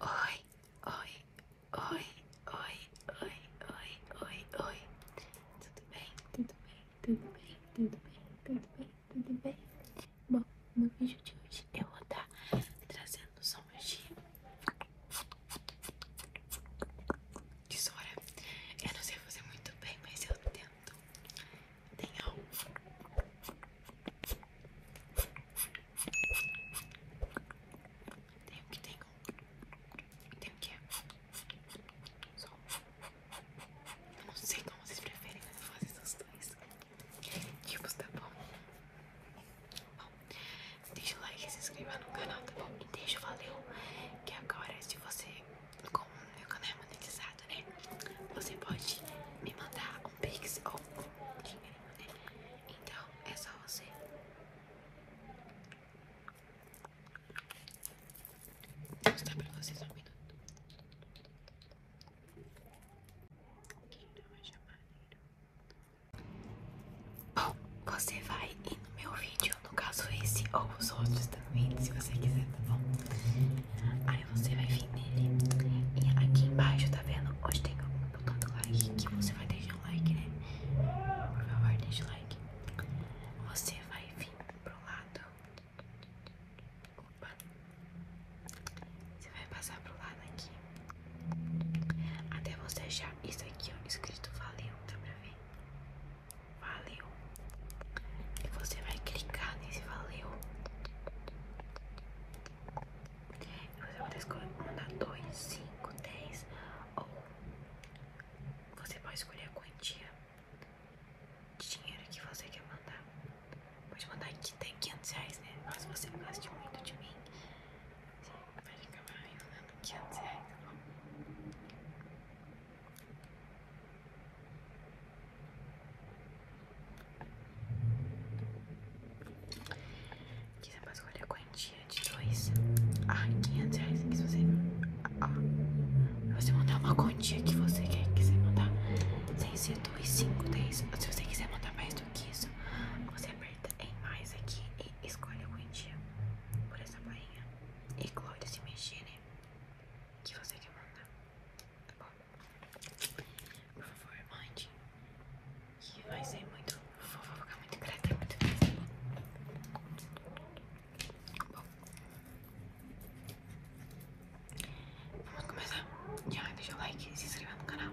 Oi, oi, oi, oi, oi, oi, oi, oi. Tudo bem, tudo bem, tudo bem, tudo bem, tudo bem, tudo bem. Bom, no vídeo de hoje eu vou estar tá trazendo sombras de tesoura. Eu não sei fazer muito bem, mas eu tento. Tenha um tem o que tem. Tem o que é. Só. Eu não sei como vocês preferem, fazer essas faço esses dois tá bom? Bom, deixa o like e se inscreva no canal, tá bom? E deixa o valeu, que agora se você, como meu canal é monetizado, né? Você pode me mandar um pix ou um dinheiro, né? Então é só você. Vou mostrar pra vocês um minuto. Bom, oh, você vai ir no meu vídeo, no caso esse ou os outros, se você quiser, tá bom? Aí você vai vir nele. E aqui embaixo, tá vendo? Hoje tem um botão do like que você vai deixar o like, né? Por favor, deixa o like. Você vai vir pro lado. Opa. Você vai passar pro lado aqui. Até você achar isso aqui, ó, escrito valeu, dá pra ver? valeu. E você vai clicar nesse valeu. E você pode escolher mandar 2, 5, 10 ou você pode escolher a quantia de dinheiro que você quer mandar. Pode mandar que tem 500 reais, né? Mas você não muito de mim. Vai ficar me mandando 500 reais, tá bom? Aqui você pode escolher a quantia de 2 a 500 reais. Que você, ah, você mandar uma quantia que você quer, quiser mandar, sem ser 2, 5, 10. Se você quiser mandar mais do que isso, você aperta em mais aqui e escolhe a quantia por essa barrinha. E claro, se mexer, né? que você quer mandar, tá bom? Por favor, mande, que vai ser muito, vou ficar muito grata muito feliz, tá bom? vamos começar. Já deixa o like e se inscreva no canal.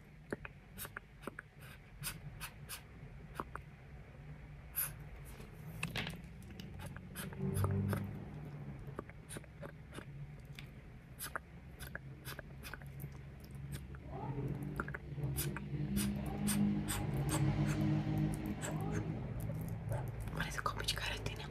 Parece um copo de karatê, né?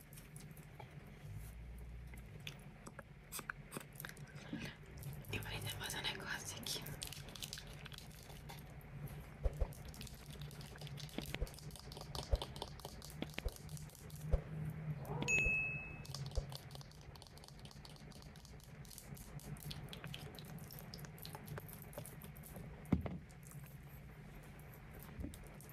Eu vou tentar fazer um negócio aqui.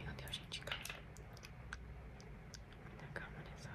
Meu Deus, gente, calma. Tá calma nessa né,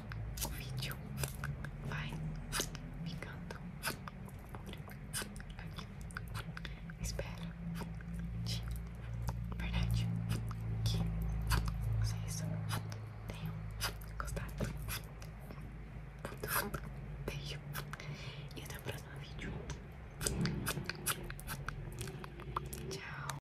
o vídeo vai ficando por aqui. Espero de verdade que vocês tenham gostado. Beijo e até o próximo vídeo. Tchau.